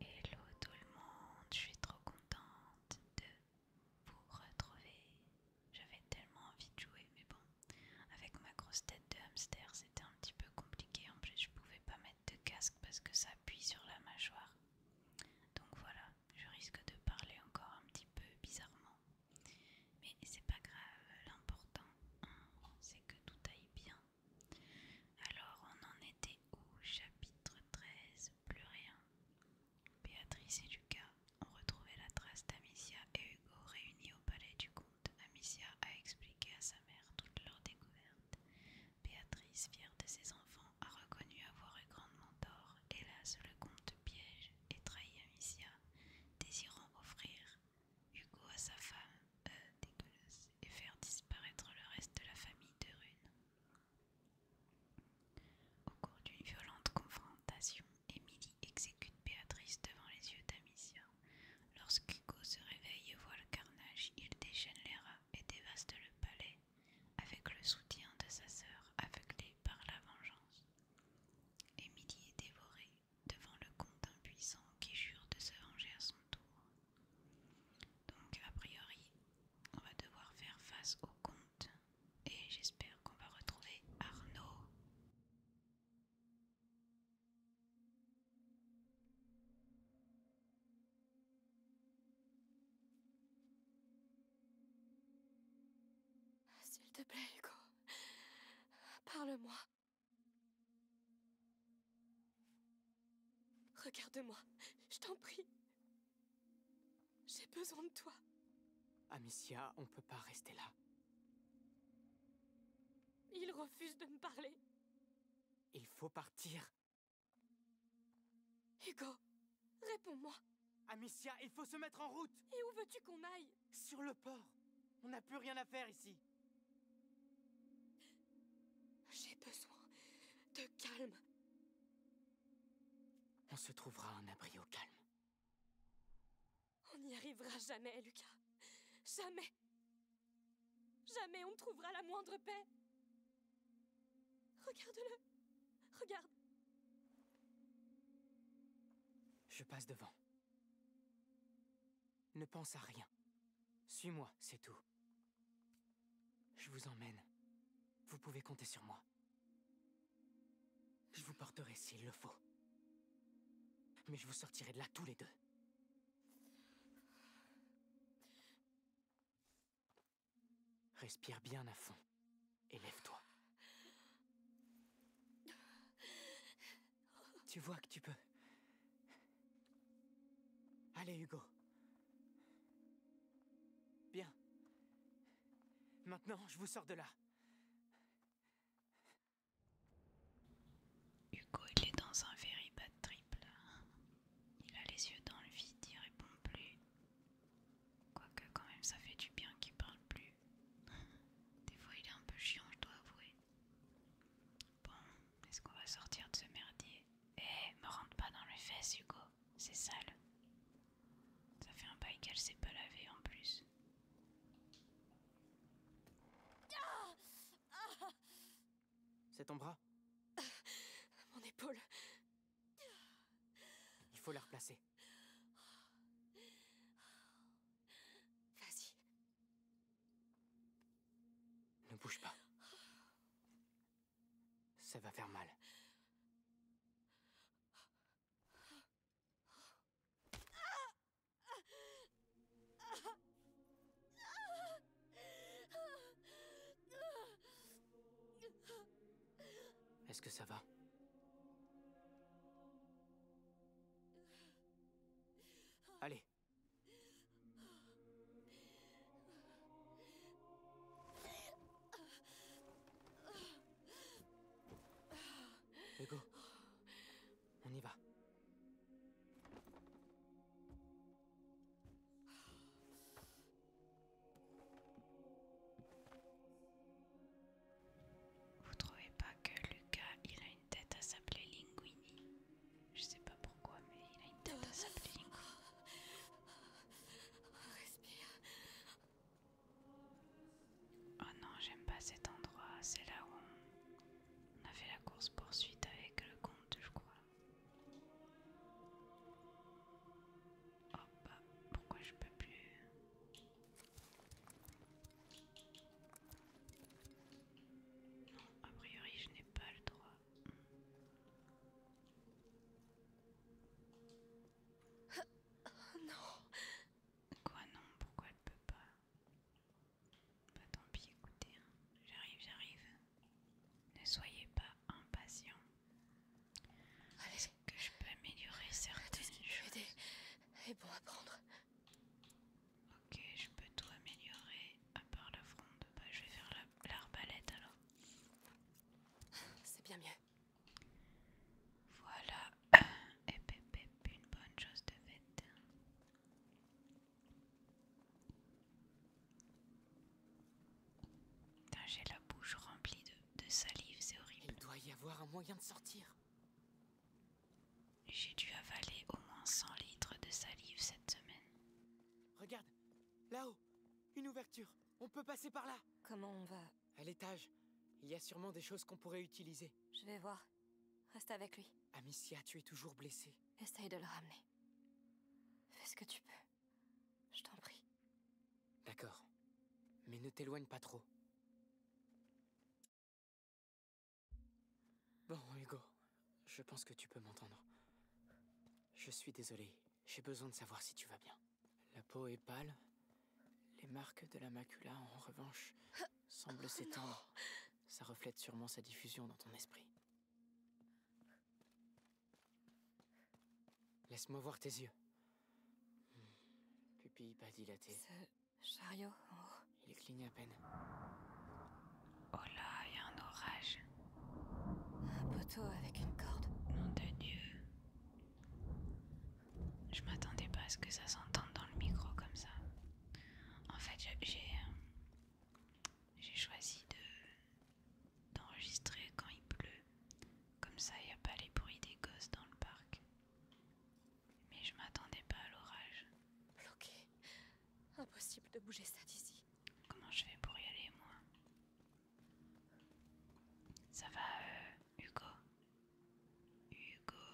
Hello tout le monde, je suis trop contente de vous retrouver. J'avais tellement envie de jouer, mais bon, avec ma grosse tête de hamster, c'était un petit peu compliqué. En plus, je pouvais pas mettre de casque parce que ça appuie sur la mâchoire. Donc voilà, je risque de parler encore un petit peu bizarrement. Mais c'est pas grave, l'important, c'est que tout aille bien. Alors on en était où chapitre 13, plus rien. Béatrice et Lucas ont retrouvé la trace d'Amicia et Hugo réunis au palais du comte. Amicia a expliqué à sa mère toute leur découverte. Béatrice, fière de ses enfants, a reconnu avoir eu grandement tort. Hélas, le comte piège et trahit Amicia, désirant offrir Hugo à sa femme. Euh, dégueulasse et faire disparaître le reste de la famille de Rune. Au cours d'une violente confrontation, Émilie exécute Béatrice devant les yeux d'Amicia. Lorsqu'Hugo se réveille et voit le carnage, il déchaîne les rats et dévaste le palais, avec le soutien de sa sœur, aveuglée par la vengeance. Émilie est dévorée devant le comte impuissant qui jure de se venger à son tour. Donc a priori, on va devoir faire face au comte et j'espère qu'on va retrouver Arnaud. S'il te plaît, Hugo, parle-moi. Regarde-moi, je t'en prie. J'ai besoin de toi. Amicia, on ne peut pas rester là. Il refuse de me parler. Il faut partir. Hugo, réponds-moi. Amicia, il faut se mettre en route. Et où veux-tu qu'on aille Sur le port. On n'a plus rien à faire ici. J'ai besoin de calme. On se trouvera un abri au calme. On n'y arrivera jamais, Lucas. Jamais. Jamais on ne trouvera la moindre paix. Regarde-le. Regarde. Je passe devant. Ne pense à rien. Suis-moi, c'est tout. Je vous emmène. Vous pouvez compter sur moi. Je vous porterai s'il le faut. Mais je vous sortirai de là tous les deux. Respire bien à fond et lève-toi. Tu vois que tu peux. Allez, Hugo. Bien. Maintenant, je vous sors de là. Hugo, il est dans un very triple. Il a les yeux dans le vide, il répond plus. Quoique, quand même, ça fait du bien qu'il parle plus. Des fois, il est un peu chiant, je dois avouer. Bon, est-ce qu'on va sortir de ce merdier Eh, me rentre pas dans les fesses, Hugo. C'est sale. Ça fait un bail qu'elle s'est pas lavée en plus. C'est ton bras Mon épaule. Il faut la replacer. Vas-y. Ne bouge pas. Ça va faire mal. Est-ce que ça va Allez, on y va. Vous trouvez pas que Lucas, il a une tête à s'appeler Linguini je sais pas pourquoi, mais il a une tête à sa Oh non, j'aime pas cet endroit. C'est là où on... a fait la course poursuite avec le comte, je crois. Hop, oh, bah, pourquoi je peux plus Non, a priori, je n'ai pas le droit. Oh non Quoi non Pourquoi elle peut pas bah, tant pis, écoutez, hein. j'arrive, j'arrive. Ne soyez pas impatient. allez que je peux améliorer certaines choses et Ok, je peux tout améliorer à part la fronde. Bah, je vais faire l'arbalète alors. C'est bien mieux. Voilà. Et une bonne chose de faite. J'ai la bouche remplie de, de salive, c'est horrible. Il doit y avoir un moyen de sortir. J'ai dû avaler au moins 100 litres de salive cette semaine. Regarde, Là-haut Une ouverture On peut passer par là Comment on va À l'étage. Il y a sûrement des choses qu'on pourrait utiliser. Je vais voir. Reste avec lui. Amicia, tu es toujours blessée. Essaye de le ramener. Fais ce que tu peux. Je t'en prie. D'accord. Mais ne t'éloigne pas trop. Bon, Hugo, je pense que tu peux m'entendre. Je suis désolé, j'ai besoin de savoir si tu vas bien. La peau est pâle, les marques de la macula, en revanche, semblent s'étendre. Ça reflète sûrement sa diffusion dans ton esprit. Laisse-moi voir tes yeux. Hmm, pupille pas dilatée. Ce chariot en haut. Il cligne à peine. Oh là, il y a un orage. Un poteau avec une corde. Nom Dieu. Je m'attendais pas à ce que ça s'entende dans le micro comme ça. En fait, euh, j'ai choisi de d'enregistrer quand il pleut. Comme ça, il n'y a pas les bruits des gosses dans le parc. Mais je m'attendais pas à l'orage. Bloqué. Impossible de bouger ça d'ici. Comment je fais pour y aller, moi Ça va, euh, Hugo Hugo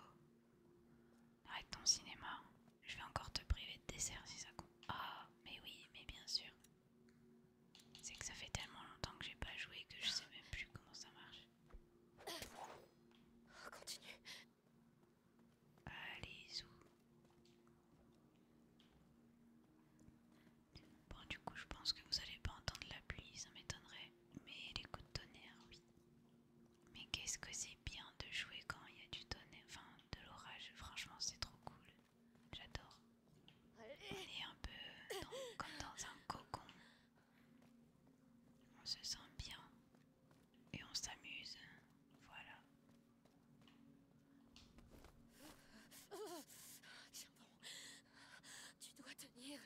Arrête ton cinéma. Je vais encore te priver de dessert si ça compte. Ah, mais oui, mais bien sûr. C'est que ça fait tellement longtemps que j'ai pas joué que je sais même plus comment ça marche. Continue allez où Bon, du coup, je pense que vous n'allez pas entendre la pluie, ça m'étonnerait. Mais les coups de tonnerre, oui. Mais qu'est-ce que c'est bien de jouer quand il y a du tonnerre, enfin de l'orage. Franchement, c'est trop cool. J'adore. On est un peu comme dans un cocon. On se sent bien et on s'amuse. Voilà tu dois tenir.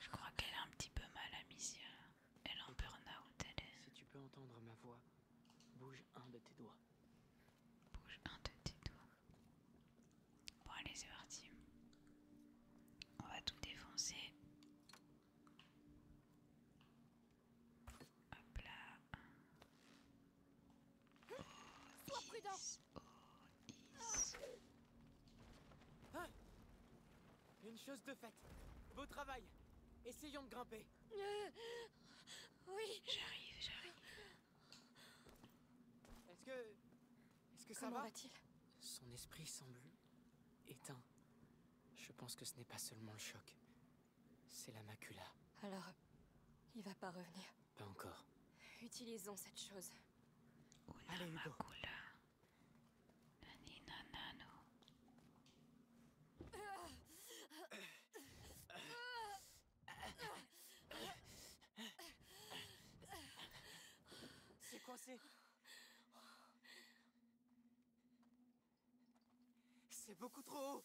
Je crois qu'elle a un petit peu mal à misère, Elle est en burn-out, elle est. Si tu peux entendre ma voix, bouge un de tes doigts. Bouge un de tes doigts. Bon, allez, c'est parti. On va tout défoncer. Hop là. Hein? Une chose de faite. Beau travail. Essayons de grimper. Euh, oui. J'arrive, j'arrive. Est-ce que. Est-ce que ça va, Son esprit semble éteint. Je pense que ce n'est pas seulement le choc. C'est la macula. Alors, il va pas revenir. Pas encore. Utilisons cette chose. Allez, C'est coincé. C'est beaucoup trop haut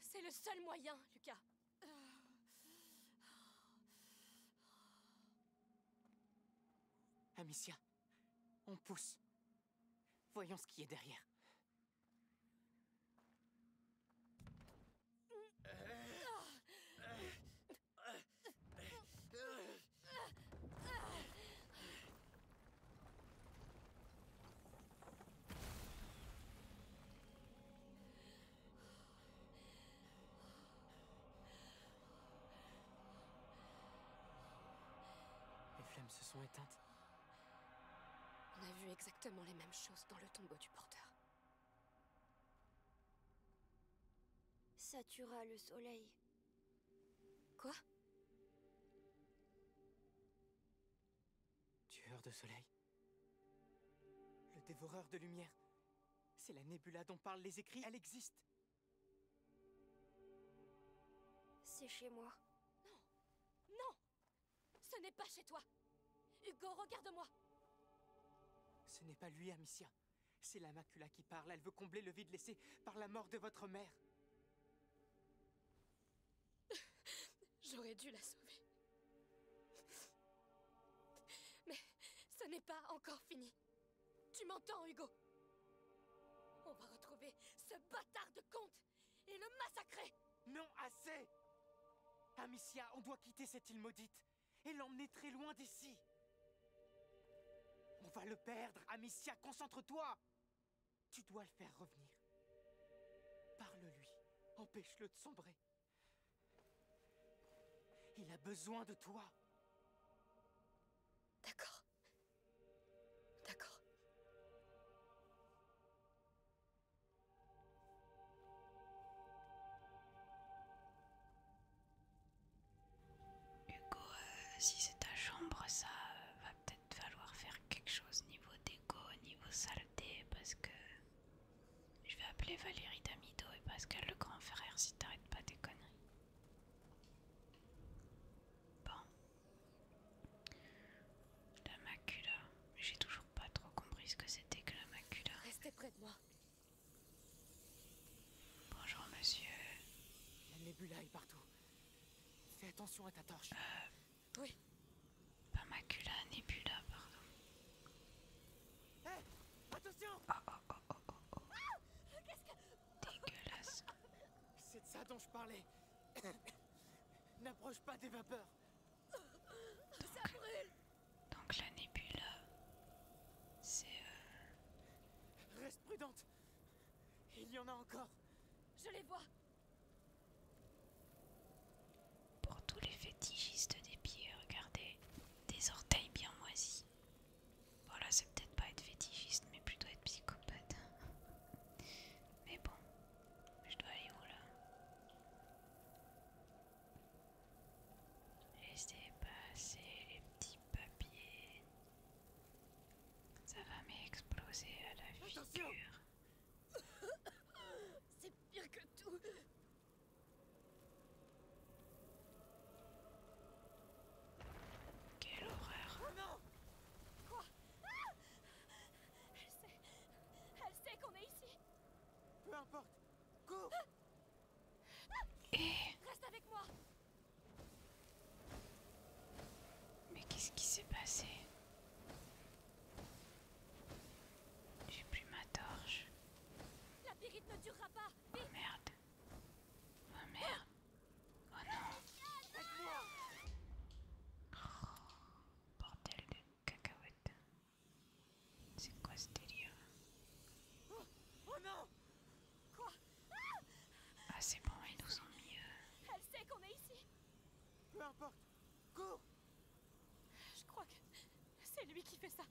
C'est le seul moyen, Lucas. Amicia, on pousse. Voyons ce qui est derrière. Euh, euh, les flammes se sont éteintes. On a vu exactement les mêmes choses dans le tombeau du porteur. Ça le soleil. Quoi Tueur de soleil. Le dévoreur de lumière. C'est la nébula dont parlent les écrits, elle existe. C'est chez moi. Non Non Ce n'est pas chez toi Hugo, regarde-moi Ce n'est pas lui, Amicia. C'est la Macula qui parle. Elle veut combler le vide laissé par la mort de votre mère. J'aurais dû la sauver. Mais ce n'est pas encore fini. Tu m'entends, Hugo On va retrouver ce bâtard de comte et le massacrer Non, assez Amicia, on doit quitter cette île maudite et l'emmener très loin d'ici on va le perdre, Amicia, concentre-toi Tu dois le faire revenir. Parle-lui, empêche-le de sombrer. Il a besoin de toi. D'accord. D'accord. Hugo, euh, si c'est ta chambre, ça euh, va peut-être falloir faire quelque chose niveau déco, niveau saleté, parce que je vais appeler Valérie Damido et Pascal le grand frère si t'arrêtes pas tes conneries. Bon. La macula. J'ai toujours pas trop compris ce que c'était que la macula. Restez près de moi. Bonjour, monsieur. La nébula est partout. Fais attention à ta torche. Euh... Oui. Pas macula, nébula, pardon. Hé Attention Oh oh oh oh oh, oh. Ah, Qu'est-ce que. Dégueulasse. C'est de ça dont je parlais. N'approche pas des vapeurs. ça brûle Donc la nébula. C'est. Euh... Reste prudente il y en a encore Je les vois Pour tous les fétichistes des pieds, regardez, des orteils bien moisis. Voilà, c'est peut-être pas être fétichiste, mais plutôt être psychopathe. Mais bon, je dois aller où là Laissez passer les petits papiers. Ça va m'exploser à la figure. C'est pire que tout. Quelle horreur. Oh non Quoi ah! Elle sait. qu'on est ici. Peu importe. Cours Reste avec moi Mais qu'est-ce qui s'est passé J'ai plus ma torche. Oh merde Oh merde Oh non oh, Bordel de cacahuète. C'est quoi ce délire oh, oh non Quoi Ah c'est bon, ils nous ont mis... Euh, Elle sait qu'on est ici Peu importe Cours Je crois que c'est lui qui fait ça.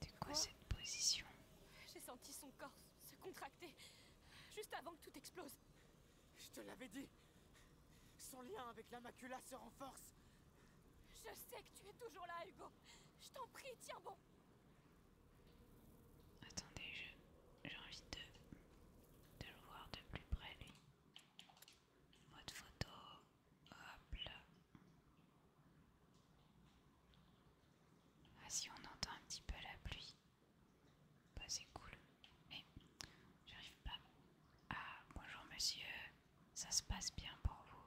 De quoi, quoi cette position J'ai senti son corps se contracter juste avant que tout explose. Je te l'avais dit Son lien avec la macula se renforce Je sais que tu es toujours là, Hugo Je t'en prie, tiens bon Attendez, j'ai envie de, le voir de plus près, lui. Mode photo, hop là. Ah si on entend un petit peu la pluie, bah c'est cool. Mais j'arrive pas. Ah bonjour monsieur, ça se passe bien pour vous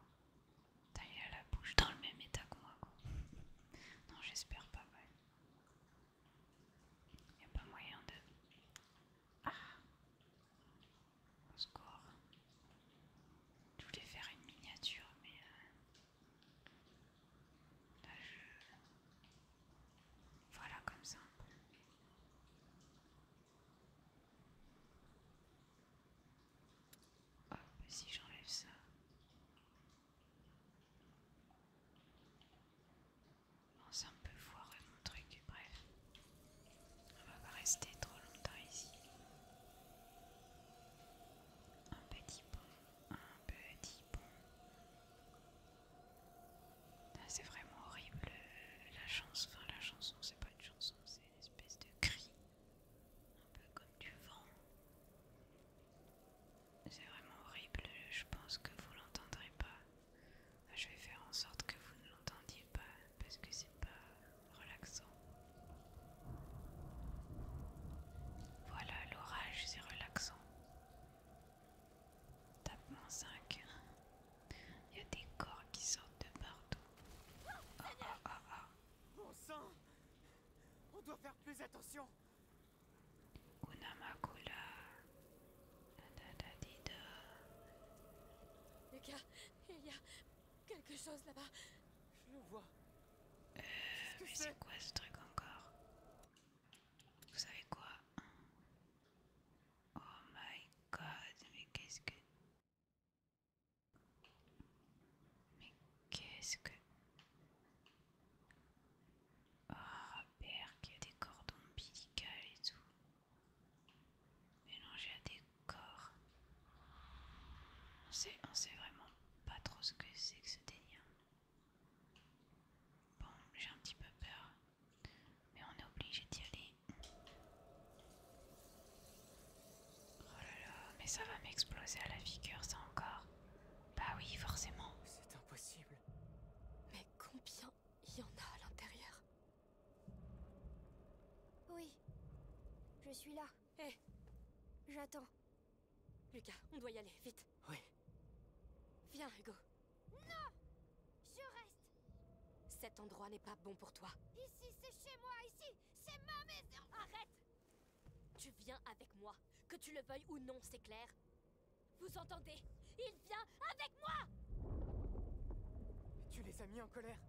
T'as il la bouche dans le même état que moi, quoi. Non, j'espère pas, il Il a pas moyen de... Ah Au score. Je voulais faire une miniature, mais... Euh, là, je... Voilà, comme ça. Hop, si j'enlève ça, c'est un peu voir mon truc, bref. On va pas rester trop longtemps ici. Un petit pont, un petit pont. Ah, c'est vraiment horrible la chanson, enfin la chanson c'est pas une chanson, c'est une espèce de cri un peu comme du vent. C'est vraiment horrible, je pense que vous l'entendrez pas. Je vais faire en sorte que vous ne l'entendiez pas parce que c'est pas relaxant. Voilà, l'orage c'est relaxant. Tapement 5. Il y a des corps qui sortent de partout. Oh, sang on doit faire plus attention. Unamakula. Lucas, il y a quelque chose là-bas. Je le vois. Euh, mais c'est quoi ce truc encore Vous savez quoi Oh my god, mais qu'est-ce que... Mais qu'est-ce que... Oh, père, qu'il y a des cordons bilicales et tout. Mélangé à des corps. On on sait vraiment pas trop ce que c'est que ce délire. Bon, j'ai un petit peu peur. Mais on est obligé d'y aller. Oh là là, mais ça va m'exploser à la figure, ça encore. Bah oui, forcément. C'est impossible. Mais combien il y en a à l'intérieur Oui. Je suis là. Hé eh. J'attends. Lucas, on doit y aller, vite. Oui. Viens, Hugo. Non Je reste Cet endroit n'est pas bon pour toi. Ici, c'est chez moi, ici, c'est ma maison Arrête tu viens avec moi, que tu le veuilles ou non, c'est clair Vous entendez Il vient avec moi Tu les as mis en colère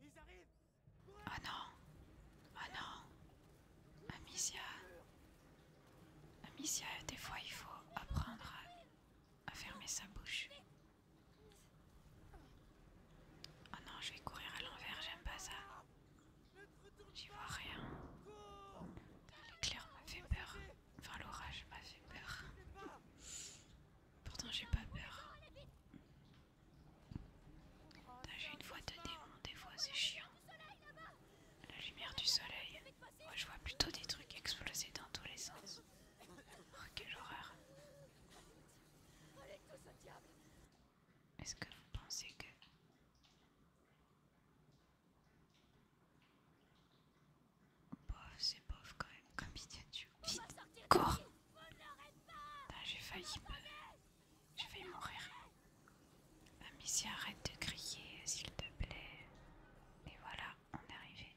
Ils arrivent Oh non Oh non Amicia Amicia, des fois il faut apprendre à, fermer sa bouche. Oh non, je vais courir à l'envers, j'aime pas ça. J'y vois rien. L'éclair m'a fait peur. Enfin, l'orage m'a fait peur. Pourtant, j'ai pas peur. J'ai une voix de démon, des fois c'est chiant. La lumière du soleil. Moi, je vois plutôt des trucs exploser dans tous les sens. Oh, quelle horreur! Est-ce que vous pensez que... Bof, c'est bof quand même, comme miniature. Vite, cours J'ai failli me... J'ai failli mourir. Amis, arrête de crier, s'il te plaît. Et voilà, on est arrivé.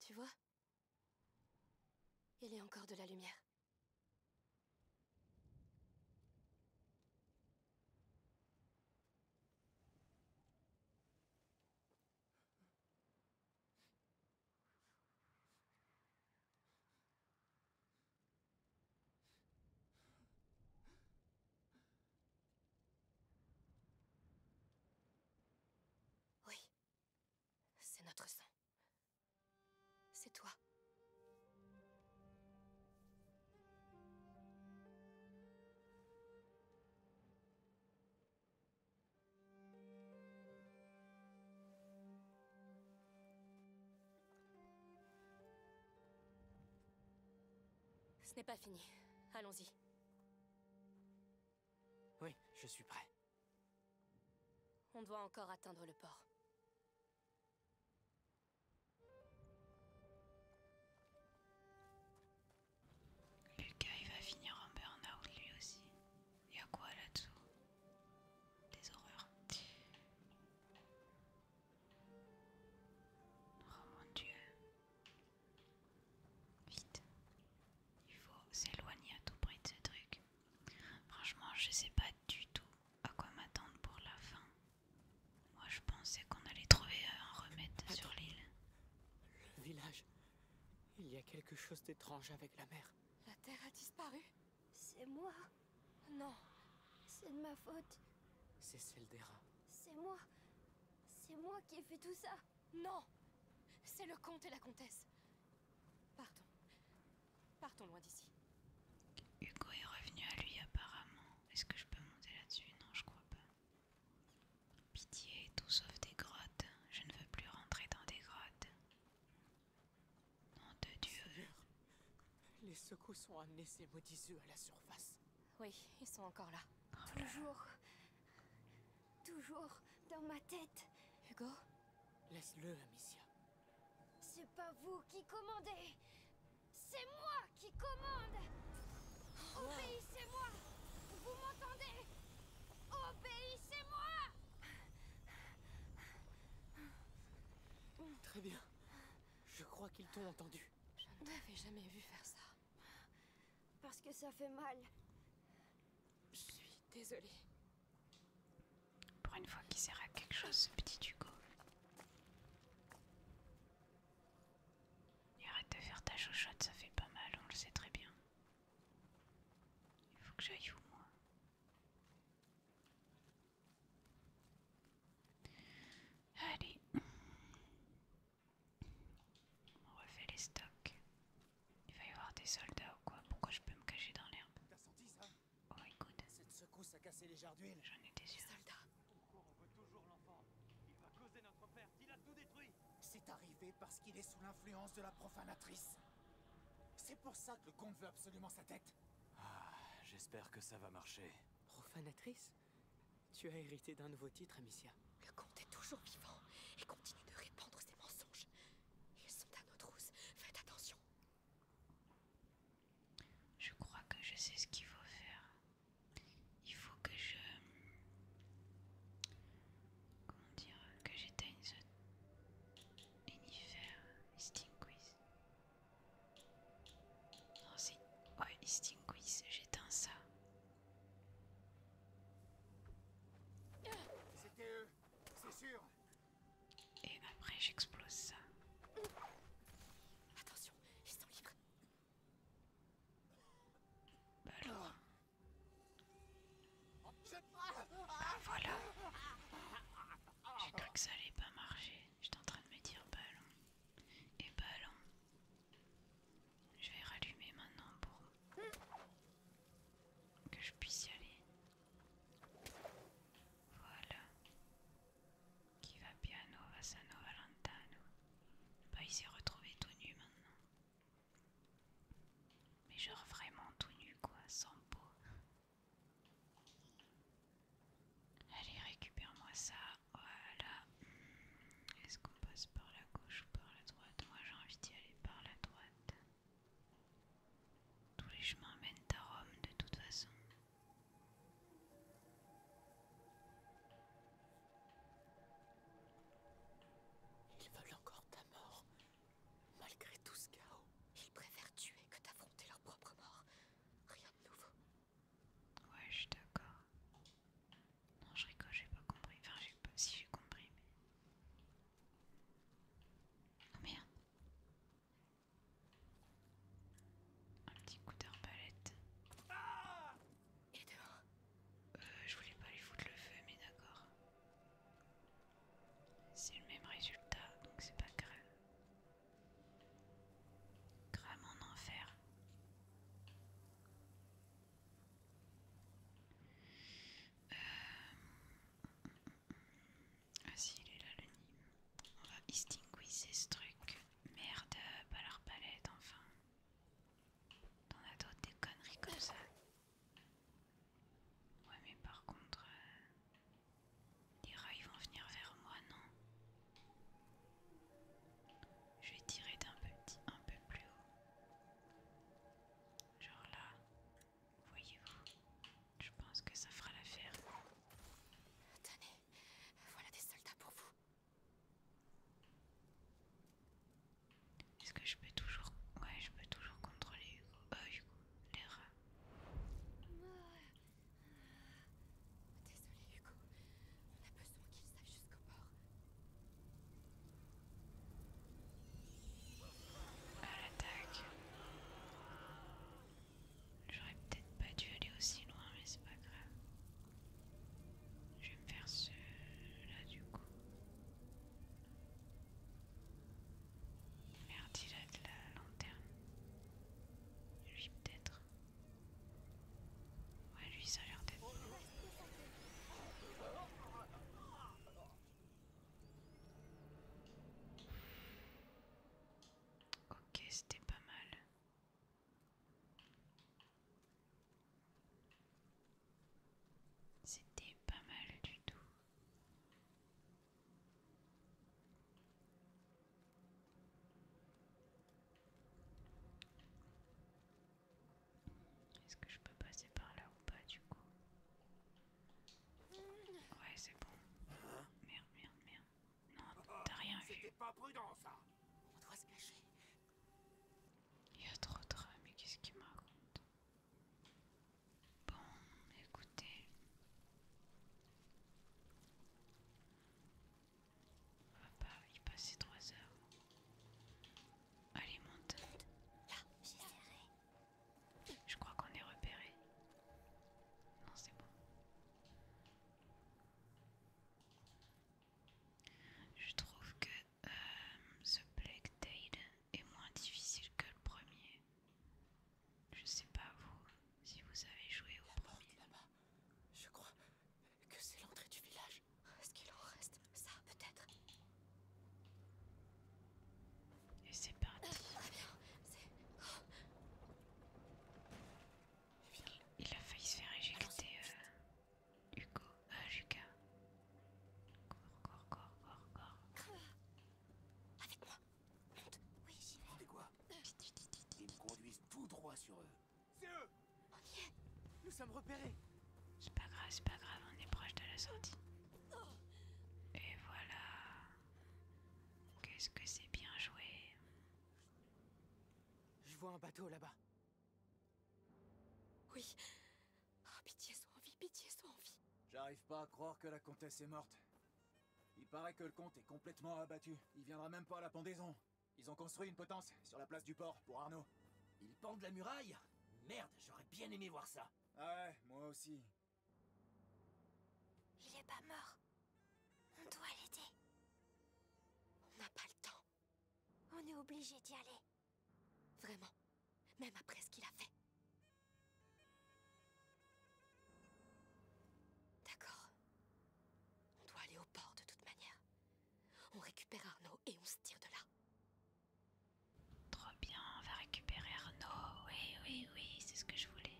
Tu vois Il y a encore de la lumière. Oui. C'est notre sang. C'est toi. Ce n'est pas fini. Allons-y. Oui, je suis prêt. On doit encore atteindre le port. Lucas, il va finir en burn-out lui aussi. Il y a quoi là-dessous Des horreurs. Oh mon dieu. Vite. Il faut s'éloigner à tout prix de ce truc. Franchement, je sais pas du tout à quoi m'attendre pour la fin. Moi, je pensais qu'on allait trouver un remède sur l'île. Le village. Il y a quelque chose d'étrange avec la mer. La terre a disparu. C'est moi. Non, c'est de ma faute. C'est celle des rats. C'est moi. C'est moi qui ai fait tout ça. Non C'est le comte et la comtesse. Partons. Partons loin d'ici. Hugo est revenu à lui apparemment. Est-ce que je peux monter là-dessus Non, je crois pas. Pitié, tout sauf des grottes. Je ne veux plus rentrer dans des grottes. Nom de Dieu. les secousses ont amené ces maudits à la surface. Oui, ils sont encore oh là. toujours. Toujours dans ma tête. Hugo Laisse-le, Amicia. C'est pas vous qui commandez C'est moi qui commande oh. Obéissez-moi Vous m'entendez Obéissez-moi Très bien. Je crois qu'ils t'ont entendu. Je n'avais jamais vu faire ça. Parce que ça fait mal. Je suis désolée. Pour une fois qu'il sert à quelque chose, ce petit Hugo. il arrête de faire ta chouchoute, ça fait pas mal, on le sait très bien. Il faut que j'aille où, moi Allez. On refait les stocks. Il va y avoir des soldats ou quoi Pourquoi je peux me cacher dans l'herbe T'as senti ça Oh écoute, Cette secousse a cassé les jardins d'huile. J'en étais des Soldats Il va causer notre perte. Il a détruit. C'est arrivé parce qu'il est sous l'influence de la profanatrice. C'est pour ça que le comte veut absolument sa tête. Ah, j'espère que ça va marcher. Profanatrice tu as hérité d'un nouveau titre, Amicia. Le comte est toujours vivant et continue de répandre ses mensonges. Ils sont à nos trousses. Faites attention. Je crois que je sais ce qu'il faut faire. Il faut que je... Comment dire Que j'éteigne ce... Enifère. Stinguis. Non, c'est... Ouais, Quiz, j'éteins ça. C'était eux, c'est sûr. Et après, j'explose ça. Attention, ils sont libres. Ballon Ah oh. voilà. J'ai cru que ça allait pas marcher. J'étais en train de me dire ballon. Bah Et ballon. Bah je vais rallumer maintenant pour que je puisse y aller. Voilà. Qui va piano, va valentano. Bah, il s'est retrouvé tout nu maintenant. Mais genre vraiment tout nu quoi, sans peau. Allez, récupère-moi ça. Voilà. Est-ce qu'on passe par la gauche ou par la droite Moi j'ai envie d'y aller par la droite. Tous les chemins mènent à Rome de toute façon. Ils veulent encore ta mort. Malgré tout ce chaos, ils préfèrent tuer que d'affronter leur propre mort. Rien de nouveau. Ouais, je suis d'accord. Non, je rigole, j'ai pas compris. Enfin, je sais pas si j'ai compris, mais. Oh merde! Un petit coup d'arbalète. Et dehors? Euh, je voulais pas lui foutre le feu, mais d'accord. C'est le même résultat, donc c'est pas grave. Grave en enfer. Euh, ah si, il est là le nîmes. On va distinguer ce truc. Merde, pas palette, enfin. T'en as d'autres des conneries comme ça. Ouais mais par contre... Euh, les rats ils vont venir vers moi, non je vais tirer d'un petit un peu plus haut. Genre là. Voyez-vous. Je pense que ça fera l'affaire. Attendez, voilà des soldats pour vous. Est-ce que je peux toujours... Ouais, je peux toujours contrôler Hugo. Euh, Hugo, les rats du Hugo. On a besoin qu'il sache jusqu'au bord. À l'attaque. J'aurais peut-être pas dû aller aussi loin, mais c'est pas grave. Je vais me faire ce là du coup. Merde, il a de la lanterne. Lui peut-être. Ouais, lui, ça a l'air d'être bon. Ok, c'était pas mal. C'était pas mal du tout. Est-ce que je peux passer par là ou pas du coup Ouais, c'est bon. Merde, merde, merde. Non, t'as rien vu. On doit se cacher. Il y a trop de rats, mais qu'est-ce qu'il me raconte Bon, écoutez. On ah va bah, pas y passer trois heures. Allez, monte. Je crois qu'on est repéré. Non, c'est bon. Je trouve que euh, ce Black tail est moins difficile que le premier. Je sais pas vous si vous avez joué au premier. Je crois que c'est l'entrée du village. Est-ce qu'il en reste Ça, peut-être. Et c'est parti. viens. Ah, ah, oh. Il, a failli se faire éjecter, euh, Hugo. Ah, Lucas. Corps, corps, corps, corps, corps. Avec moi. Monte. Oui, j'y vais. quoi Ils me conduisent tout droit sur eux. Nous sommes repérés C'est pas grave, c'est pas grave, on est proche de la sortie. Et voilà Qu'est-ce que c'est bien joué Je vois un bateau là-bas. Oui. Oh, pitié, sois en vie, pitié, sois en vie. J'arrive pas à croire que la comtesse est morte. Il paraît que le comte est complètement abattu. Il viendra même pas à la pendaison. Ils ont construit une potence sur la place du port pour Arnaud. Ils pendent la muraille Merde, j'aurais bien aimé voir ça. Ah ouais, moi aussi. Il est pas mort. On doit l'aider. On n'a pas le temps. On est obligé d'y aller. Vraiment. Même après ce qu'il a fait. D'accord. On doit aller au port de toute manière. On récupère Arnaud et on se tire de là. Trop bien, on va récupérer Arnaud. Oui, oui, oui, c'est ce que je voulais.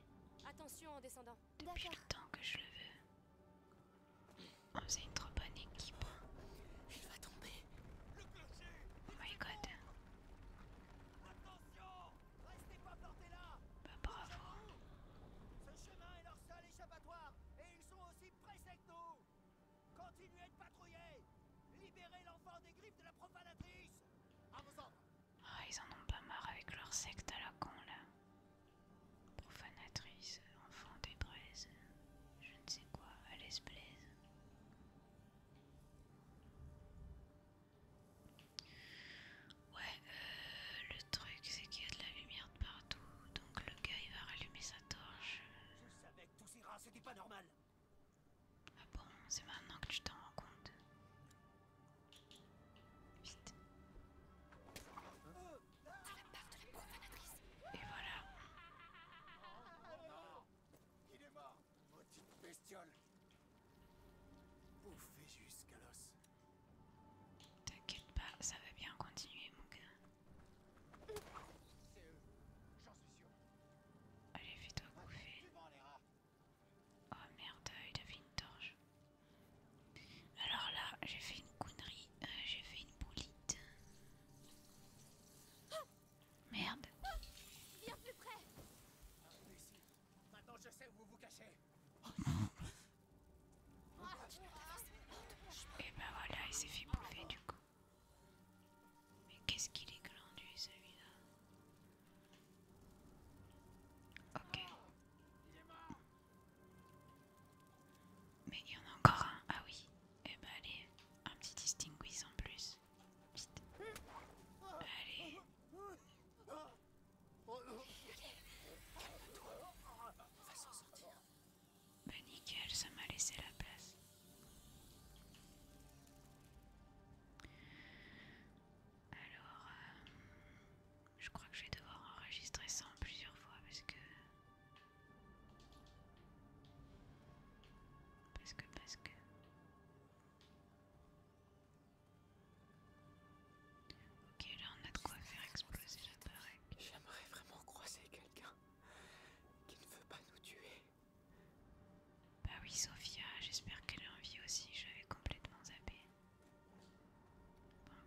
Attention en descendant. Depuis le temps que je le veux. On faisait une trop bonne équipe. Il va tomber. Le clocher Oh my god. Attention Restez pas plantés là Bah bravo Ce chemin est leur seul échappatoire et ils sont aussi pressés que Continuez de patrouiller Libérez l'enfant des griffes de la profanatrice À vos ordres Ah, ils en ont pas marre avec leur secte à la con, là. Profanatrice, enfant des braises, je ne sais quoi, à l'esblaise. Ouais, euh, le le truc, c'est qu'il y a de la lumière de partout, donc le gars il va rallumer sa torche. Je savais que tout ira, c'était pas normal. Ah bon, c'est maintenant que tu t'en rends compte. Vite. De la part de la profanatrice. Et voilà. Oh, non Il est mort, petite bestiole. Bouffé jusqu'à l'os. T'inquiète pas, ça va bien continuer mon gars. j'en suis Allez, fais-toi bouffer. Oh merde, il a fait une torche. Alors là, j'ai fait une connerie, euh, j'ai fait une boulite. Merde. Oh non. Et eh ben voilà, il s'est fait bouffer du coup. Mais qu'est-ce qu'il est glandu celui-là Ok. Mais il y en a encore un. Ah oui. Et eh ben allez, un petit distinguis en plus. Vite. Allez. On va s'en sortir. Bah nickel, ça m'a laissé la place. Alors, euh, je crois que je vais devoir enregistrer ça en plusieurs fois parce que... Parce que, parce que... Ok, là on a de quoi faire exploser la J'aimerais vraiment croiser quelqu'un qui ne veut pas nous tuer. Bah oui, Sophia, j'espère qu'elle a envie aussi, j'avais complètement zappé.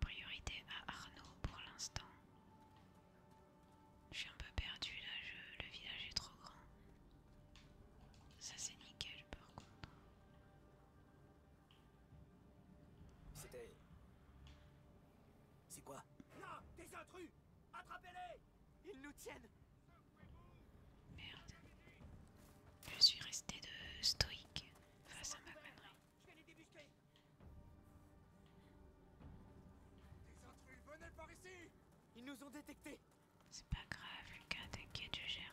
priorité à Arnaud pour l'instant. Je suis un peu perdu là, le village est trop grand. Ça c'est nickel par contre. C'était... C'est quoi Non Des intrus Attrapez-les Ils nous tiennent Merde. Je suis resté de stoïque face à ma connerie. Je vais les débusquer Des intrus, venez par ici Ils nous ont détectés C'est pas grave, Lucas, t'inquiète, je gère.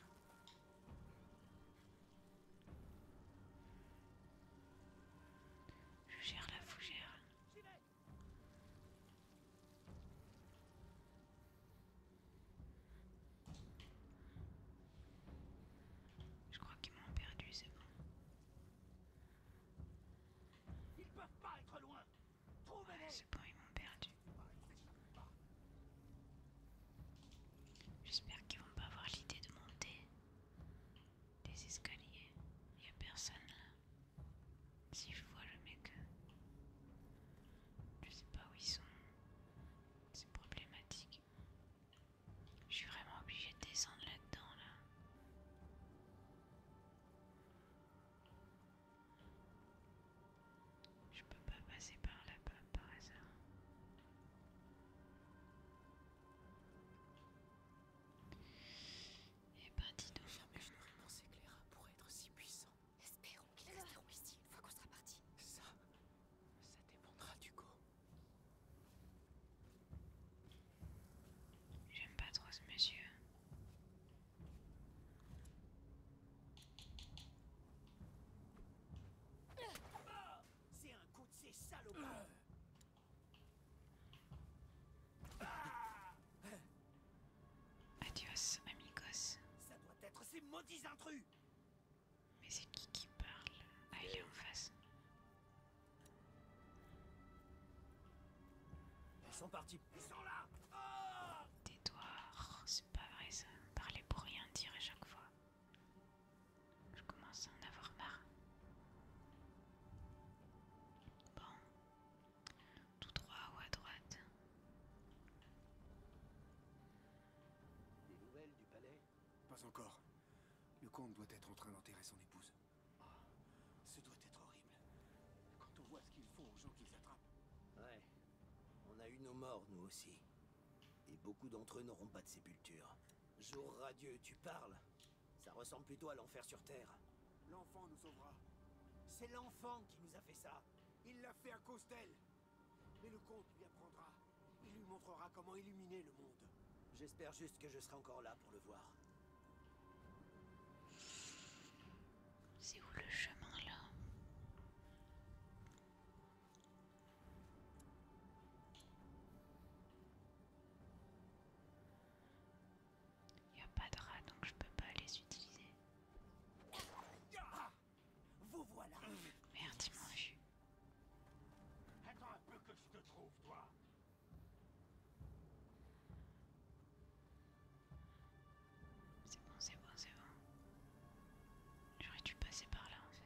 Je gère la fougère. Je crois qu'ils m'ont perdu, c'est bon. Ils pas être loin. c'est bon, ils m'ont perdu. J'espère qu'ils vont pas avoir l'idée de monter des escaliers. Il a personne là. Si je vois le mec, je sais pas où ils sont. C'est problématique. Je suis vraiment obligée de descendre là-dedans là. Je peux pas passer par là par hasard. Eh ben, dis donc. Jamais je n'aurais pensé que les rats être si puissant. Espérons qu'ils resteront ici une fois qu'on sera parti. Ça, ça dépendra du go. J'aime pas trop ce monsieur. Ah c'est un coup de ces salopards Adios, amigos. Ça doit être ces maudits intrus Mais c'est qui qui parle Ah, il est en face. Ils sont partis. Ils sont là oh c'est pas vrai ça. Parler pour rien dire à chaque fois. Je commence à en avoir marre. Bon, tout droit ou à droite Des nouvelles du palais Pas encore. Le comte doit être en train d'enterrer son épouse. Oh, ce doit être horrible. Quand on voit ce qu'ils font aux gens qu'ils attrapent. Ouais. On a eu nos morts, nous aussi. Et beaucoup d'entre eux n'auront pas de sépulture. Jour radieux, tu parles Ça ressemble plutôt à l'enfer sur Terre. L'enfant nous sauvera. C'est l'enfant qui nous a fait ça. Il l'a fait à cause d'elle. Mais le comte lui apprendra. Il lui montrera comment illuminer le monde. J'espère juste que je serai encore là pour le voir. C'est où le chemin là il n'y a pas de rat donc je peux pas les utiliser. Vous voilà. Merde, ils Attends un peu que je te trouve, toi. C'est bon, c'est bon, c'est bon. J'aurais dû passer par là en fait.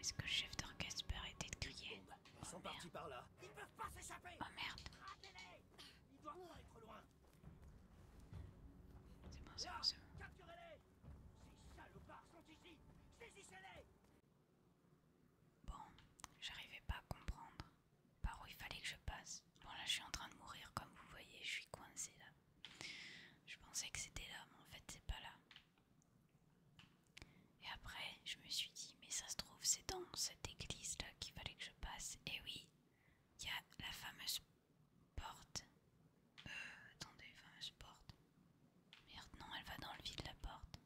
Est-ce que le chef d'orchestre peut arrêter de crier bah, Ils sont oh, partis par là. Ils peuvent pas s'échapper. Oh merde. Ils doivent pas être loin. C'est bon, ça Capturez-les Ces salopards sont ici Saisissez-les Bon, j'arrivais pas à comprendre par où il fallait que je passe. Bon là je suis en train de mourir comme vous voyez, je suis coincée là. Je pensais que c'était là, mais en fait c'est pas là. Et après je me suis dit, mais ça se trouve c'est dans cette église là qu'il fallait que je passe. Et oui, il y a la fameuse porte. Euh, attendez, fameuse porte. Merde, non, elle va dans le vide la porte.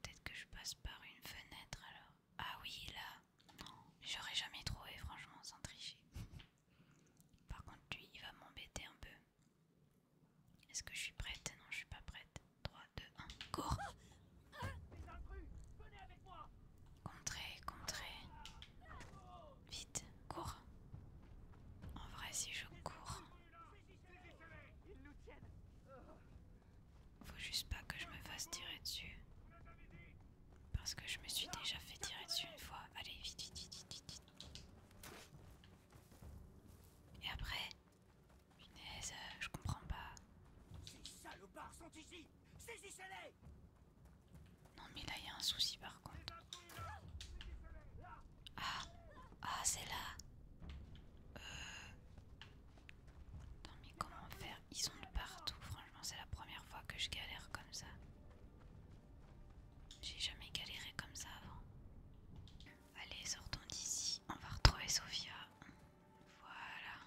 Peut-être que je passe par une fenêtre alors. Ah oui, là. Non, j'aurais jamais trouvé, franchement, sans tricher. Par contre, lui, il va m'embêter un peu. Est-ce que je suis prête Non, je suis pas prête. 3, 2, 1, cours Contrer, contrer Vite, cours. En vrai, si je cours. Faut juste pas que je me fasse tirer dessus. Parce que je me suis déjà fait tirer dessus une fois. Allez, vite, vite, vite, vite, vite. Et après Punaise, euh, je comprends pas. Non mais là, il y a un souci par contre. Ah Ah, c'est là Euh... Non mais comment faire Ils sont de partout, franchement c'est la première fois que je galère comme ça. J'ai jamais galéré comme ça avant. Allez, sortons d'ici, on va retrouver Sophia. Voilà.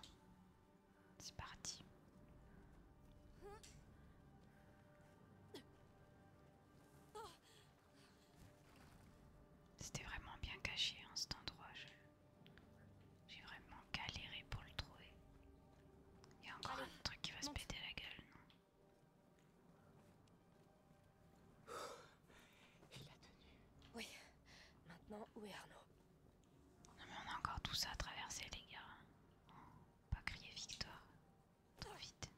C'est parti. C'était vraiment bien caché en hein, cet endroit. J'ai vraiment galéré pour le trouver. Il y a encore un truc qui va se péter la gueule, non Il l'a tenu. Oui. Maintenant, où est Arnaud Non mais on a encore tout ça à traverser, les gars. pas crier victoire. Trop vite.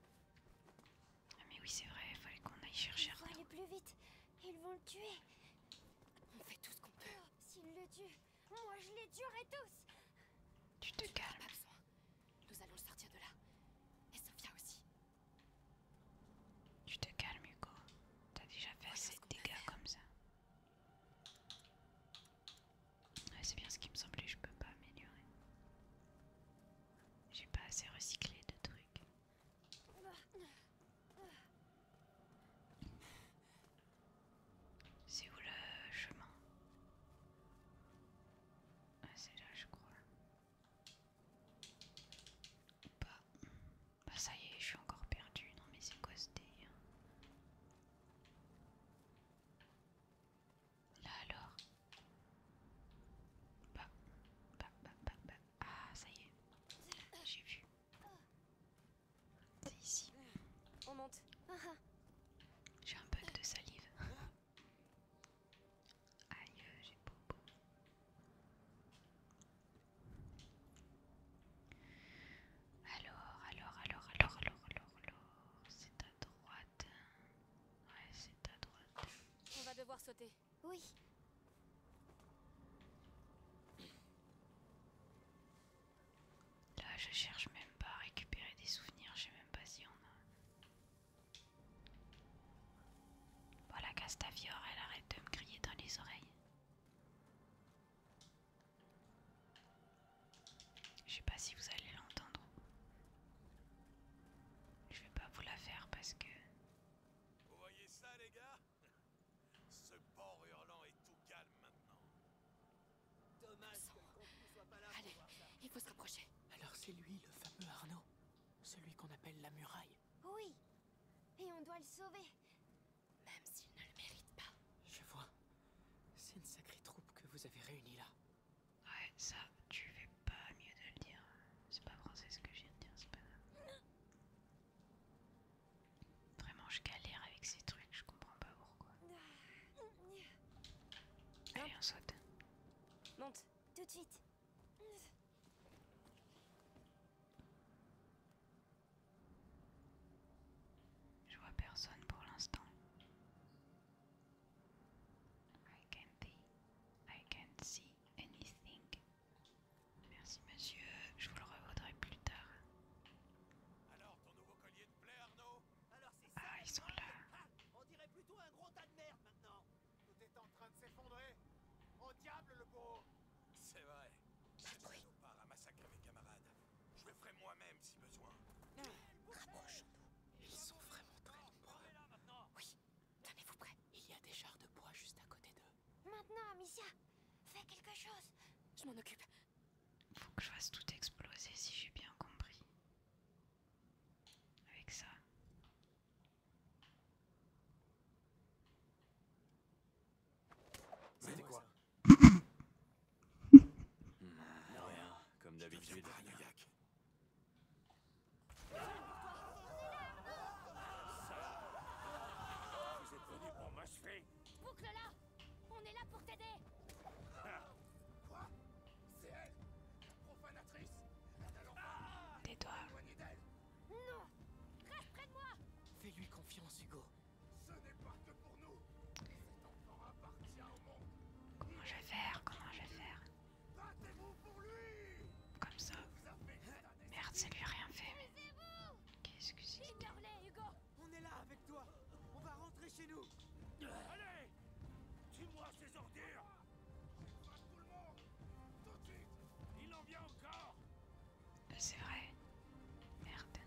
Ah mais oui, c'est vrai, il fallait qu'on aille chercher Arnaud. plus vite ils vont le tuer On fait tout ce qu'on peut. Oh, s'ils le tuent, moi je les tuerai tous Tu te calmes. Nous allons sortir de là. Et Sophia aussi. Tu te calmes, Hugo. T'as déjà fait assez de dégâts comme ça. Ouais, C'est bien ce qui me semblait, je peux pas améliorer. J'ai pas assez recyclé de trucs. C'est où le chemin Ah c'est là je crois. Bah, bah ça y est, je suis encore perdue. Non mais c'est quoi ce délire Là alors bah, bah, bah, bah, bah, ah, ça y est, j'ai vu. C'est ici. On monte. J'ai un peu de salive. Aïe, j'ai beau. Alors, alors, alors, alors, alors, alors, alors. C'est à droite. Ouais, c'est à droite. On va devoir sauter. Oui. Là, je cherche même pas à récupérer des souvenirs, je sais même pas si on a. Voilà, Castavior, elle arrête de me crier dans les oreilles. Je sais pas si vous allez l'entendre. Je vais pas vous la faire parce que. Vous voyez ça, les gars ce port hurlant est tout calme maintenant. Dommage pas Allez, il faut se rapprocher. Alors c'est lui, le fameux Arnaud. Celui qu'on appelle la muraille. Oui. Et on doit le sauver. Même s'il ne le mérite pas. Je vois. C'est une sacrée troupe que vous avez réunie là. Ouais, ça, tu fais pas mieux de le dire. C'est pas français ce que je viens de dire, c'est pas... Vraiment, je galère avec ces trucs, je comprends pas pourquoi. Allez, on saute. Monte, tout de suite. Je vois personne pour l'instant. I can't see anything. Merci monsieur, je vous le revaudrai plus tard. Alors ton nouveau collier de plaie, Arnaud Ah ils sont là ah, On dirait plutôt un gros tas de merde maintenant Tout est en train de s'effondrer Au diable le beau C'est vrai Je ne part à massacrer mes camarades. Je le ferai moi-même si besoin. rapprochons ah, Ils sont vraiment très nombreux. Oui, tenez-vous prêt. Il y a des chars de bois juste à côté d'eux. Maintenant, Amicia Fais quelque chose Je m'en occupe. Faut que je fasse tout exploser si j'ai bien compris. Avec ça. C'était quoi Rien, comme d'habitude. Vous êtes pour m'achever Boucle là On est là pour t'aider Quoi C'est elle La Profanatrice ah. Tais-toi Non Reste près de moi Fais-lui confiance, Hugo. Ce n'est pas que pour nous Cet enfant appartient au monde Comment je vais faire Comment je vais faire Battez-vous pour lui Comme ça. Merde, ça lui rien fait, Qu'est-ce que c'est On est là avec toi On va rentrer chez nous Allez Tu moi ces ordures tout le monde Tout de Il en vient encore euh, C'est vrai. Merde.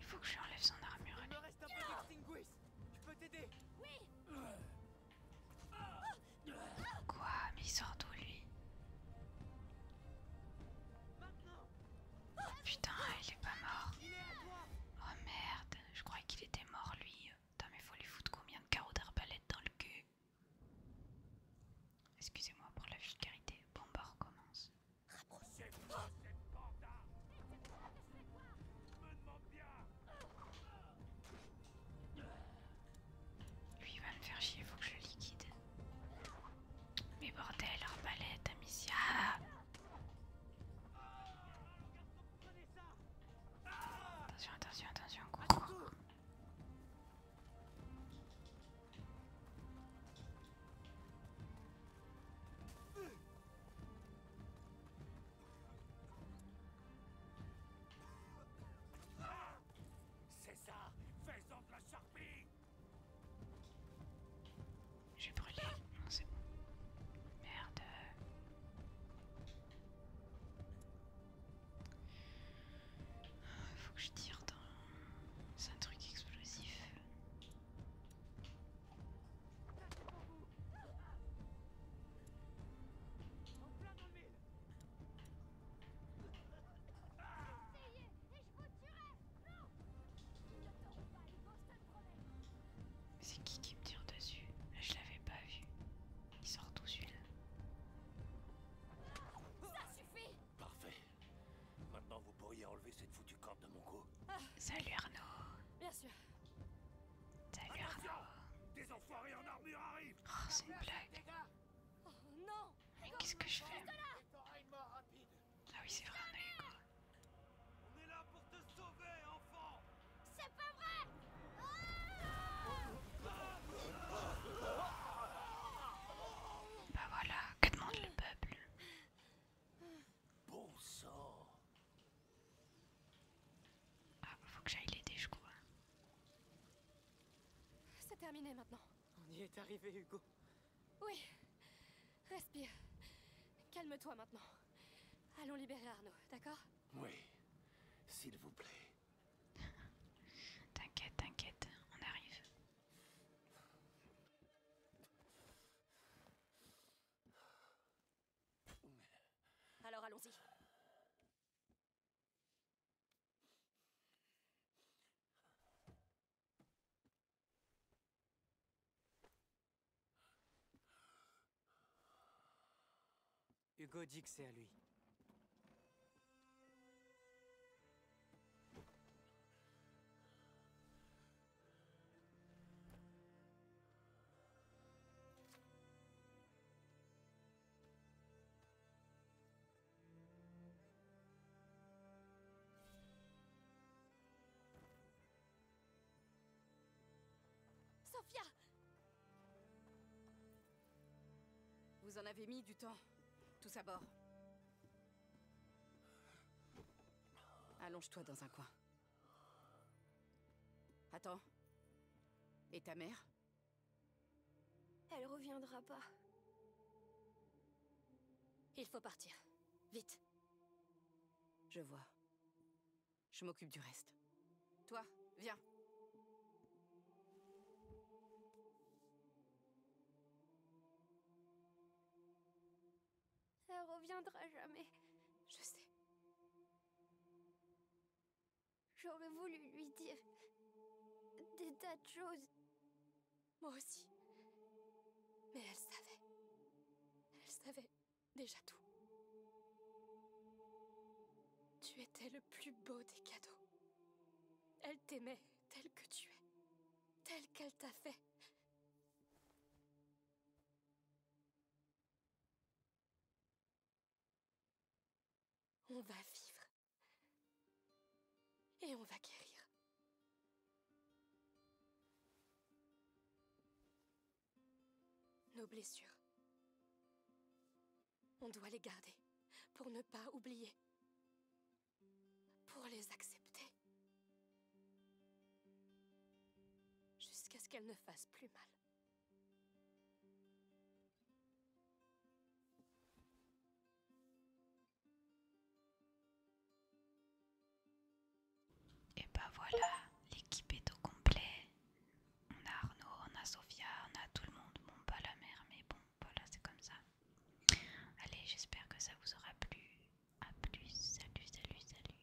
Il faut que je lui enlève son armure. Il me reste un peu d'extinguis Je peux t'aider Oui Quoi Mais il sort d'où lui Putain, il est pas mort. Oh merde, je croyais qu'il était mort lui. Putain, mais faut lui foutre combien de carreaux d'arbalète dans le cul Excusez-moi pour la vulgarité. Bon, bah, recommence. cette Me demande bien lui va me faire chier, faut que je le liquide. Mais bordel, palette Amicia Attention, attention, attention, quoi c'est ça fais de la charpie J'ai brûlé. Non, c'est Merde. Il ah, faut que je tire dans... C'est un truc explosif. C'est qui qui me tire dessus Je l'avais pas vu. Il sort tout celui Ça suffit Parfait. Maintenant, vous pourriez enlever cette foutue corde de mon cou. Salut Arnaud. Bien sûr. Salut Des en c'est une blague oh, qu'est-ce que je fais Ah oui, c'est vrai, est là pour te sauver, C'est pas vrai Bah voilà, que demande le peuple Bon ah, bah, faut que j'aille l'aider, je crois. C'est terminé maintenant. On y est arrivé, Hugo. Oui. Respire. Calme-toi maintenant. Allons libérer Arnaud, d'accord Oui. S'il vous plaît. t'inquiète, t'inquiète, on arrive. Alors allons-y. Hugo dit que c'est à lui. Sophia Vous en avez mis du temps. Tous à bord. Allonge-toi dans un coin. Attends. Et ta mère Elle reviendra pas. Il faut partir. Vite. Je vois. Je m'occupe du reste. Toi, viens. Elle reviendra jamais. Je sais. J'aurais voulu lui dire des tas de choses. Moi aussi. Mais elle savait. Elle savait déjà tout. Tu étais le plus beau des cadeaux. Elle t'aimait tel que tu es, tel qu'elle t'a fait. On va vivre. Et on va guérir. Nos blessures. On doit les garder pour ne pas oublier. Pour les accepter. Jusqu'à ce qu'elles ne fassent plus mal. Et bah voilà, l'équipe est au complet. On a Arnaud, on a Sofia, on a tout le monde. Bon, pas la mère, mais bon, voilà, c'est comme ça. Allez, j'espère que ça vous aura plu. A plus, salut, salut, salut.